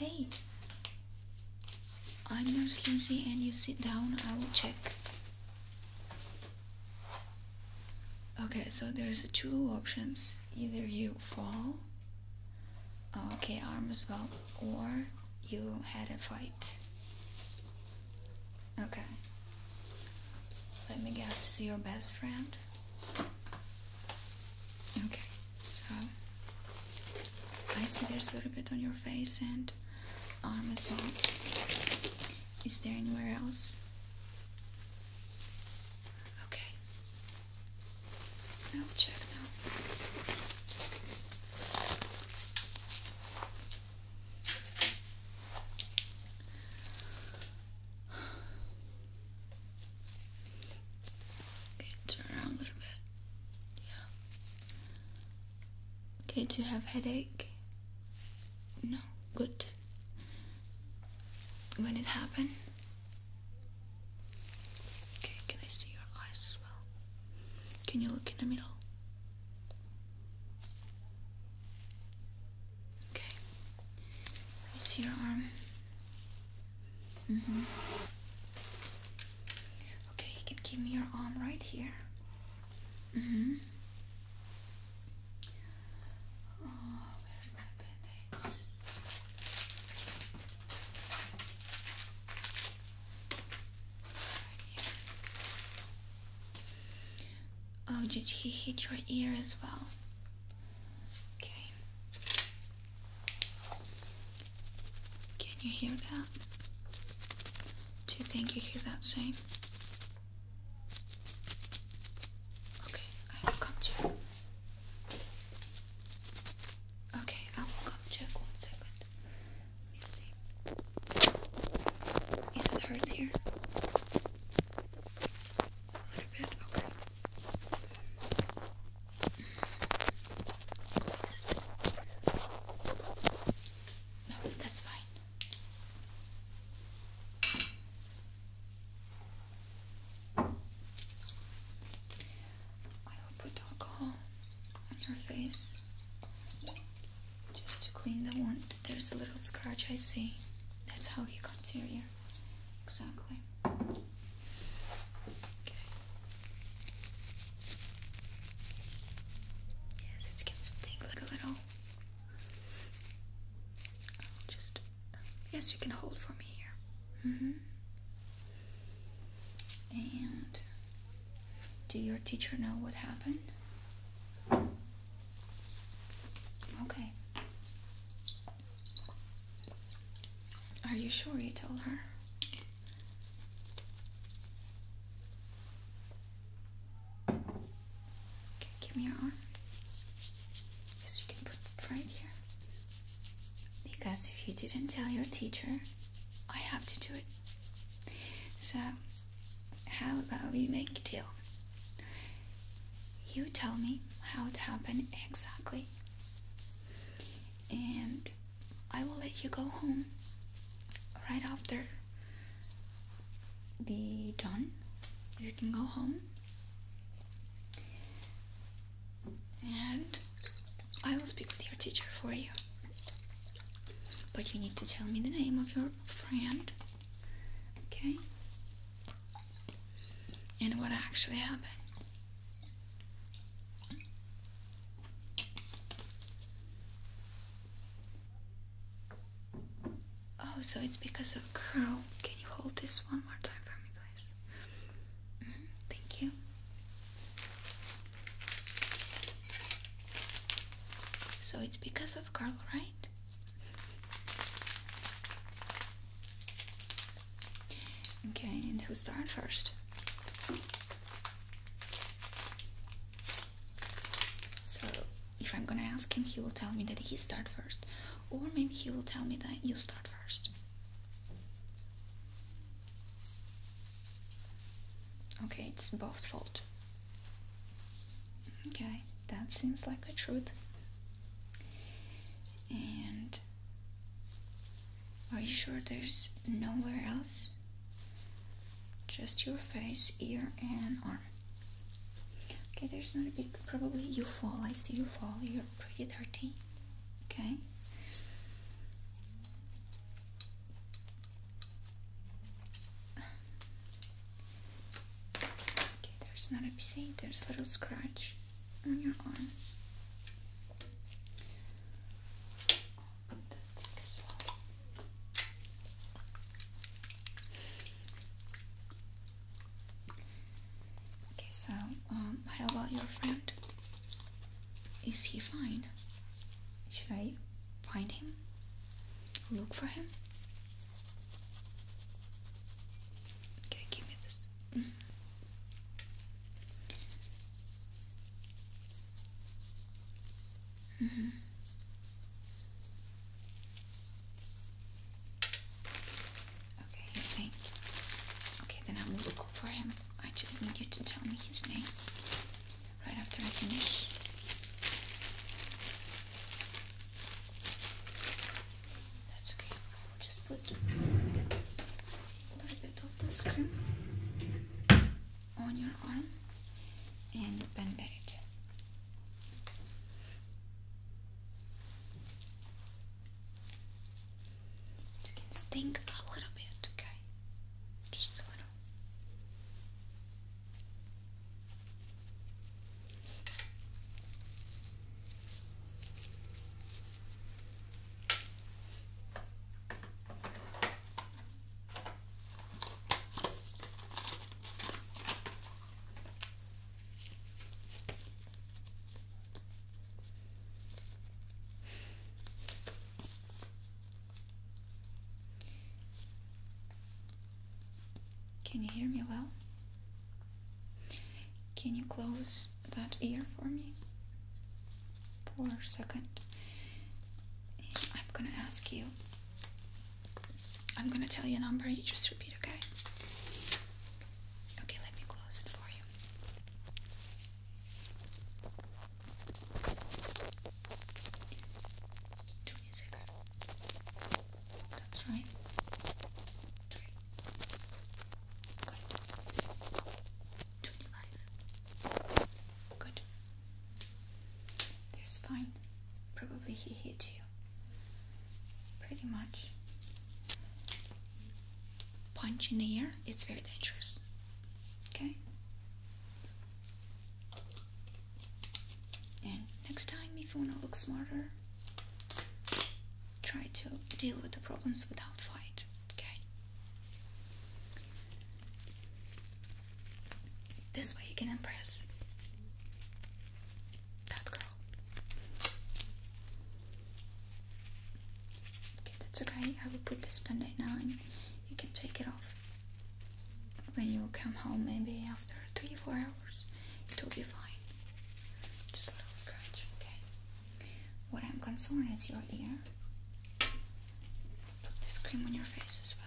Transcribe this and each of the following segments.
Hey, I'm Nurse Lucy, and you sit down, I will check. Okay, so there's two options either you fall Okay, arm as well, or you had a fight. Okay. Let me guess, is your best friend? Okay, so I see there's a little bit on your face and arm as well. Is there anywhere else? Okay, now check now. Okay, turn around a little bit. Yeah. Okay, do you have headache? No. Good. When it happened? Okay, can I see your eyes as well? Can you look in the middle? Okay. Let see your arm. Mm hmm Okay, you can give me your arm right here. hmm Oh, where's my band Oh, did he hit your ear as well? Okay. Can you hear that? Do you think you hear that same? Okay, I will come to Okay, I will go check one second. Let me see. Is the hurt here? A little bit, okay. No, that's fine. I will put alcohol on your face just to clean the wound. There's a little scratch I see. That's how he got to your ear. Exactly. Yes, it can sting like a little. just Yes, you can hold for me here. Mm-hmm. And do your teacher know what happened? Okay. Are you sure you told her? Okay, give me your arm. Yes, you can put right here. Because if you didn't tell your teacher, I have to do it. So, how about we make a deal? You tell me how it happened exactly, and I will let you go home right after be done. You can go home and I will speak with your teacher for you. But you need to tell me the name of your friend, okay? And what actually happened. Oh, so it's because of curl. Can you hold this one more time for me, guys. Mm-hmm. Thank you. So it's because of Carl, right? Okay, and who's start first? So if I'm gonna ask him, he will tell me that he start first or maybe he will tell me that you start first. Okay, it's both fault. Okay, that seems like a truth. And are you sure there's nowhere else? Just your face, ear, and arm. Okay, there's not a big probably you fall. I see you fall. You're pretty dirty. Okay. Okay, there's not a see there's little scratch on your arm. Okay, so um, how about your friend? Is he fine? Should I find him? Look for him? Okay, give me this. Mm. Mm Okay, I Okay, then I will look for him. I just need you to tell me his name right after I finish. That's okay. I will just put a little bit of this cream on your arm and bandage. Just going stink a little bit, okay? Just a little. Can you hear me well? Can you close that ear for me for a second? I'm gonna ask you. I'm gonna tell you a number, you just repeat, okay? Okay, let me close it for you. Twenty-six. That's right. Three. Good. Twenty-five. Good. There's fine. Probably he hit you pretty much punch in the air it's very dangerous okay and next time if you want to look smarter try to deal with the problems without fight okay this way you can impress that girl. Okay, that's okay. I will put this bandage on. and you can take it off. When you come home, maybe after three, four hours, it will be fine. Just a little scratch, okay? What I'm concerned is your ear. Put this cream on your face as well.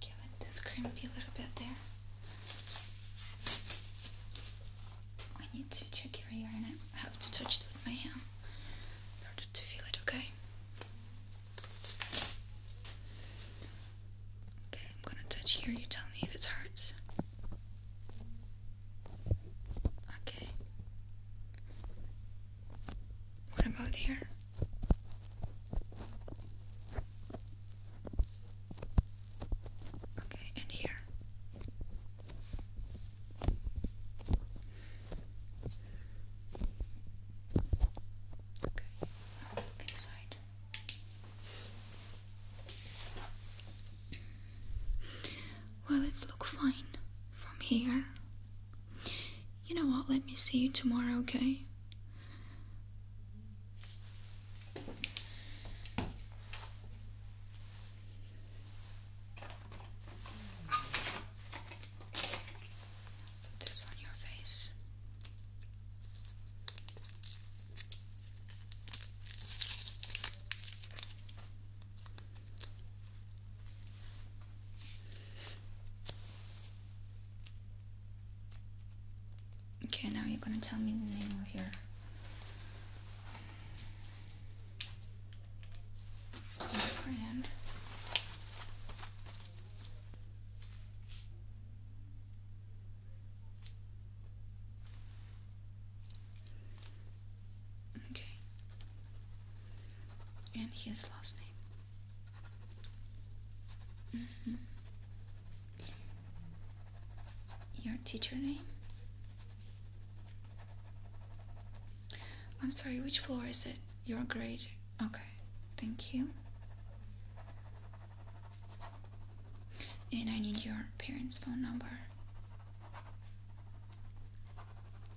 Give it this crimpy little bit there. I need to check your hair and I have to touch it with my hand in order to feel it, okay? Okay, I'm gonna touch here, you tell me if it hurts. Okay. What about here? Okay, and here. Okay, inside. Well, it's look fine from here you know what? Let me see you tomorrow, okay? Put this on your face. Okay, now you're gonna tell me the name of your friend. Okay. And his last name. Mm-hmm. Your teacher name? I'm sorry, which floor is it? Your grade? Okay, thank you. And I need your parents' phone number.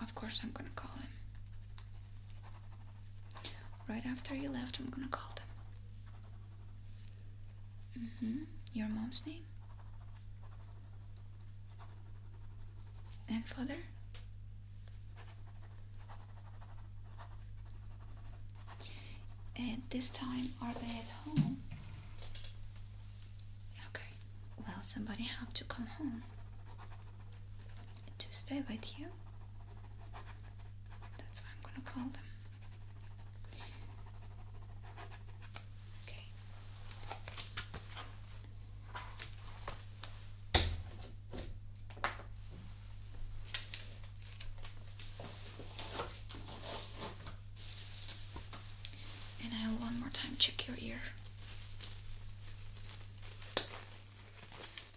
Of course, I'm gonna call him. Right after you left, I'm gonna call them. Mm hmm. Your mom's name? And father? And this time, are they at home? Okay. Well, somebody have to come home to stay with you. That's why I'm gonna call them. Okay. And I'll one more time check your ear.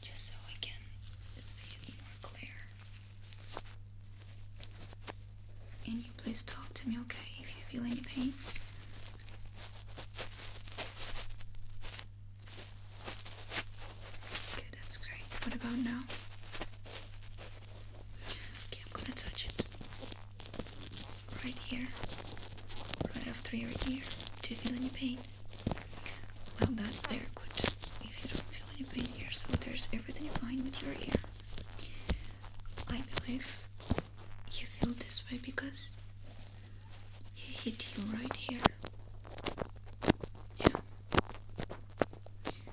just so I can see it more clear. And you please talk to me, okay, if you feel any Okay, that's great. What about now? Okay, I'm gonna touch it right here, right after your ear. Do you feel any pain? Well, that's very good. If you don't feel any pain here, so there's everything fine with your ear. I believe you feel this way because he hit you right here. Yeah. And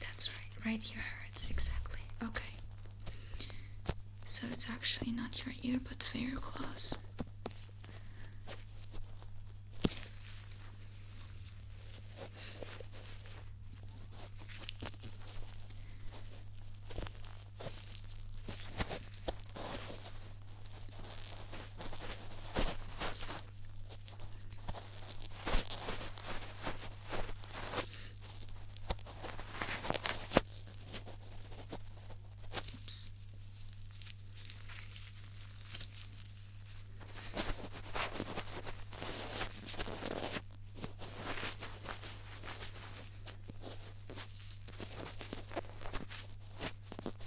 that's right, right here hurts exactly. Okay. So it's actually not your ear but very close. Oops.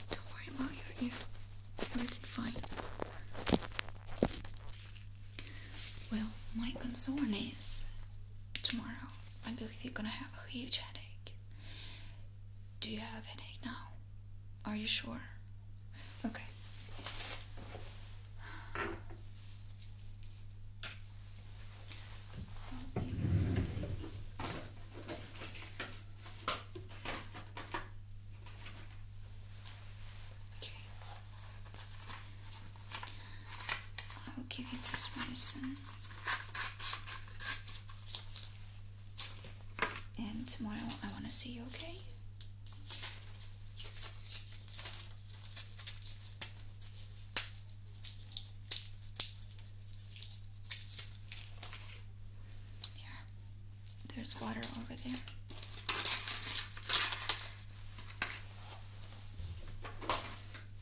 Don't worry about your ear. fine. Well, my concern is tomorrow I believe you're gonna have a huge headache. Do you have a headache now? Are you sure? Okay. I'll give you this medicine. And tomorrow I want to see you, okay? Here, there's water over there.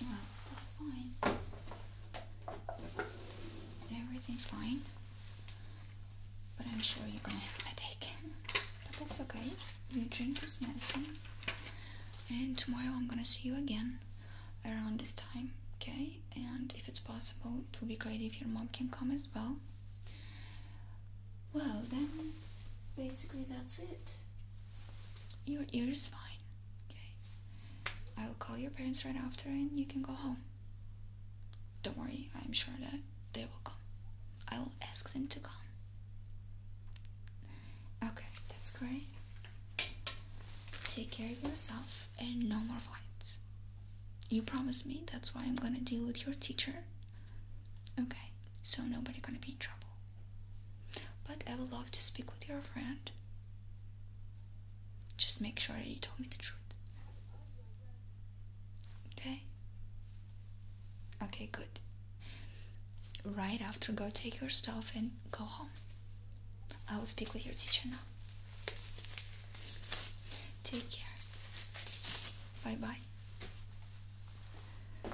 Well, that's fine. Everything fine. But I'm sure you're gonna have a headache. But that's okay. You drink this medicine. And tomorrow I'm gonna see you again around this time, okay? And if it's possible, it would be great if your mom can come as well. Well, then, basically that's it. Your ear is fine. Okay. I will call your parents right after and you can go home. Don't worry, I'm sure that they will come. I will ask them to come. Okay, that's great. Take care of yourself and no more fights. You promise me, that's why I'm gonna deal with your teacher. Okay, so nobody gonna be in trouble. But I would love to speak with your friend. Just make sure you told me the truth. Okay? Okay, good. Right after, go take your stuff and go home. I will speak with your teacher now. Take care. Bye bye.